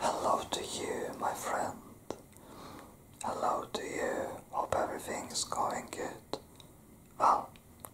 Hello to you, my friend. Hello to you. Hope everything is going good. Well,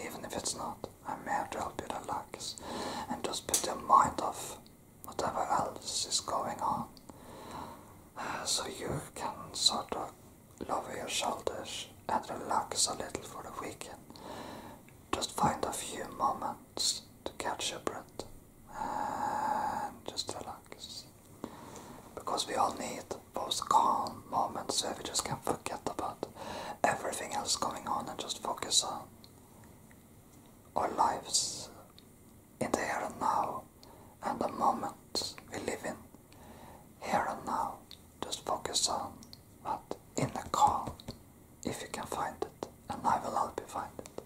even if it's not, I'm here to help you relax and just put your mind off whatever else is going on. Uh, so you can sort of lower your shoulders and relax a little for the weekend. Just find a few moments to catch your breath and just relax. Because we all need those calm moments where we just can forget about everything else going on and just focus on our lives in the here and now and the moment we live in. Here and now, just focus on what in the calm if you can find it, and I will help you find it.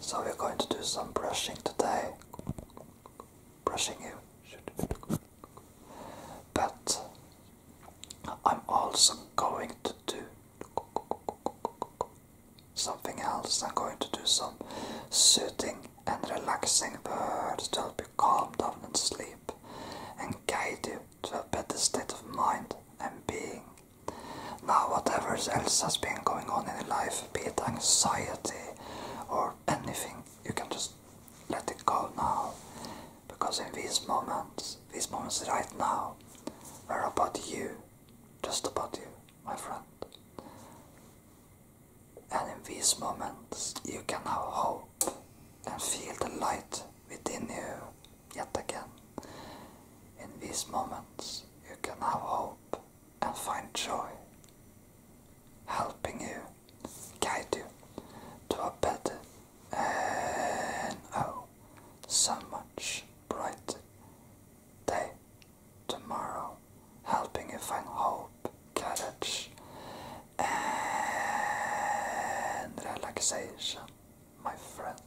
So we're going to do some brushing today. Brushing you but I'm also going to do something else. I'm going to do some soothing and relaxing words to help you calm down and sleep and guide you to a better state of mind and being. Now, whatever else has been going on in your life, be it anxiety or anything, you can just let it go now. Because in these moments, these moments right now, are about you, just about you, my friend. And in these moments, you can have hope and feel the light within you yet again. In these moments, you can have hope and find joy, helping you, guide you to a better and oh, so much brighter day tomorrow, helping you find hope, courage, and relaxation, my friend.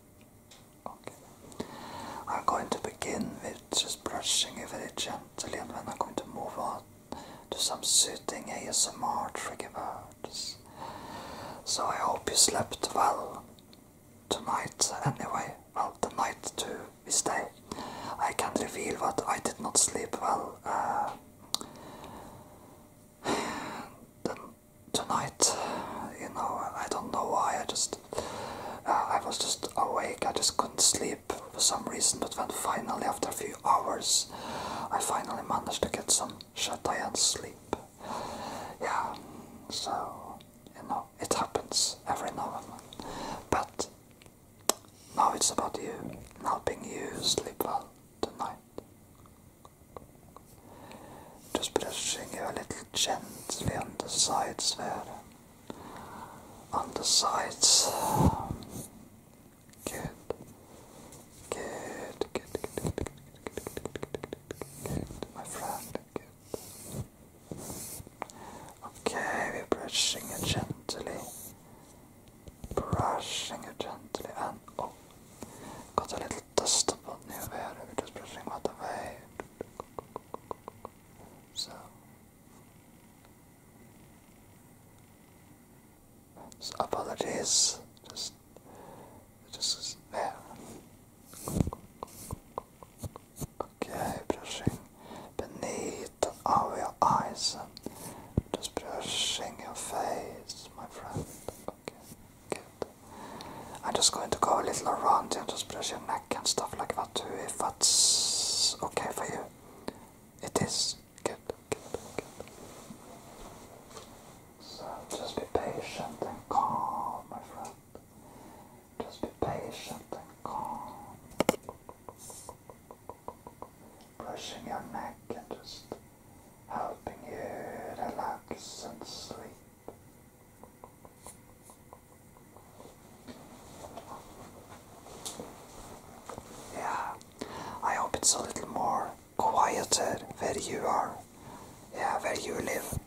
Okay. I'm going to begin with just brushing it very gently and then I'm going to move on to some soothing ASMR trigger words. So I hope you slept well tonight anyway. Well, tonight too, this day, I can reveal that I did not sleep well uh, tonight, you know, I don't know why. I just, uh, I was just awake. I just couldn't sleep for some reason. But when finally, after a few hours, I finally managed to get some Shatyan sleep. Yeah, so you know, it happens every now and then. But now it's about you helping you sleep well tonight. Just brushing you a little gently on the sides there. On the sides. good, good, good, good, good, good, good, good, my friend, good. Okay, we're brushing it gently brushing it gently and oh, got a little dust spot near there. We're just brushing that away. So, so apologies. Just, just is there. Okay, brushing beneath our eyes just brushing your face, my friend. Okay, good. I'm just going to go a little around just brushing your neck and stuff like that too, if that's okay for you. It is. Good, good, good. So just be patient and calm, my friend. Just be patient and calm brushing your neck and just helping you relax and sleep. Yeah, I hope it's a little more quieter where you are, yeah, where you live.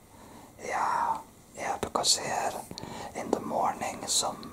Yeah, yeah, because here in the morning some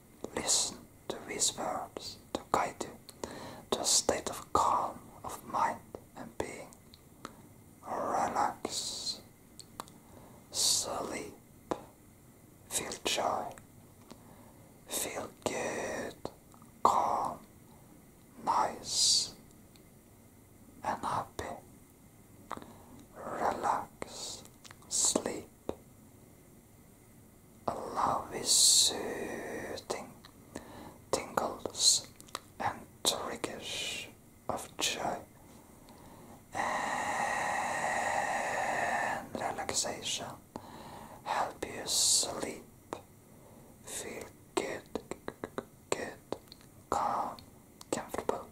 Listen to these words to guide you to a state of calm of mind and being. Relax, sleep, feel joy, feel good, calm, nice, and happy. Relax, sleep, a love is soothing, tingles and triggers of joy and relaxation help you sleep, feel good, good, calm, comfortable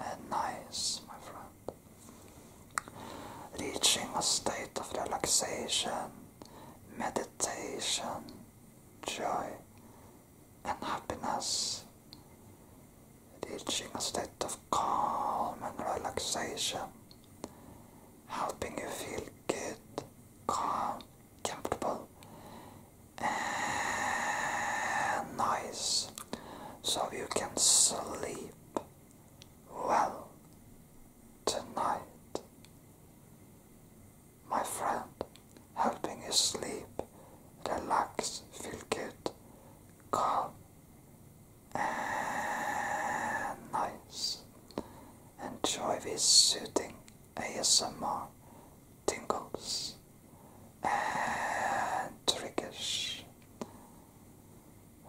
and nice, my friend. Reaching a state of relaxation, meditation, joy, and happiness. Reaching a state of calm and relaxation, helping you feel good, calm, comfortable, and nice so you can sleep well tonight. My friend, helping his sleep, relax, feel good, calm, and nice. Enjoy these soothing ASMR tingles and triggers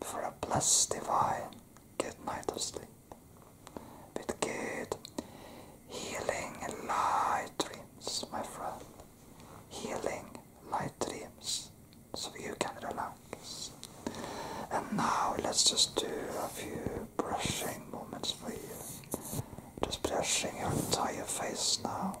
for a blessed divine good night of sleep with good healing light dreams, my friend. Healing light dreams so you can relax. And now let's just do a few brushing moments for you. Just brushing your entire face now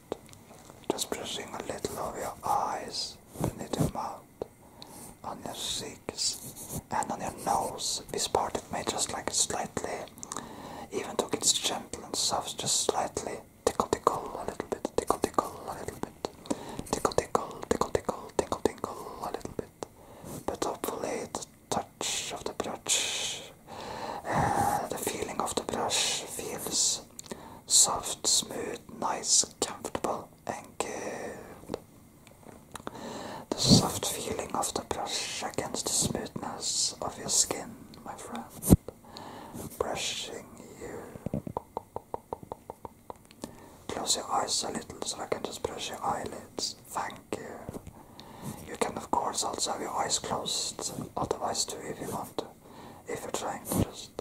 it. Just brushing a little over your eyes, beneath your mouth, on your cheeks, and on your nose. This part it may just like slightly, even though it's gentle and soft, just slightly tickle, tickle a little bit, tickle, tickle a little bit, tickle, tickle, tickle, tickle, tickle, tickle a little bit. But hopefully, the touch of the brush the feeling of the brush feels soft, smooth, nice, comfortable, and good. The soft feeling of the brush against the smoothness of your skin, my friend. Brushing you. Close your eyes a little so I can just brush your eyelids. Thank you. You can, of course, also have your eyes closed, otherwise, too, if you want if you're trying to just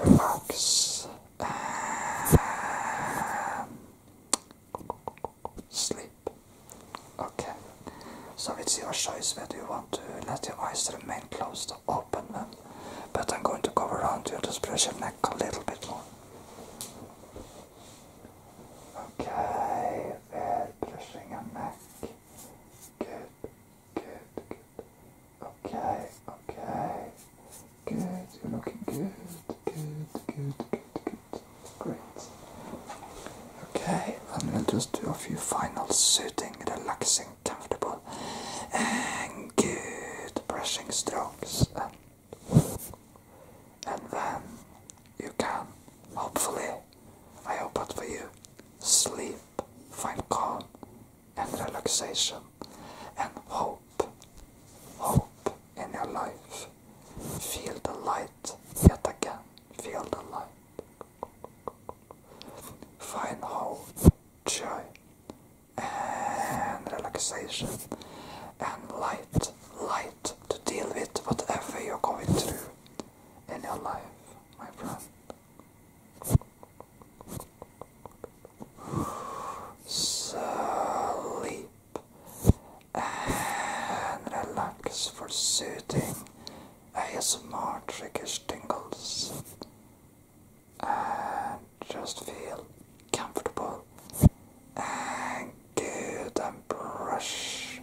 relax sleep. Okay, so it's your choice whether you want to let your eyes remain closed or open them, but I'm going to go around you just press your neck a little bit more. Okay, Very are pressing your neck. Good, good, good. Okay, okay. Good, you're looking good, good, good, good, good. Great. Okay, I'm gonna just do a few final soothing, relaxing, comfortable, and good brushing strokes. And and then you can hopefully I hope but for you sleep, find calm and relaxation and hope hope in your life. Feel the light yet again. Feel the light. Find hope, joy and relaxation and light light to deal with whatever you're going through in your life, my friend. Sleep and relax for soothing ASMR triggers tingles and just feel comfortable and good, and brush,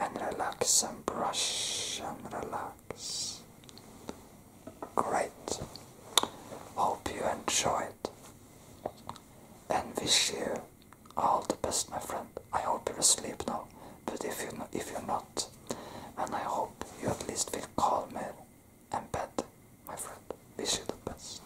and relax, and brush, and relax. Great. Hope you enjoyed. And wish you all the best, my friend. I hope you're asleep now, but if you if you're not, and I hope you at least feel calmer and better, my friend. Wish you the best.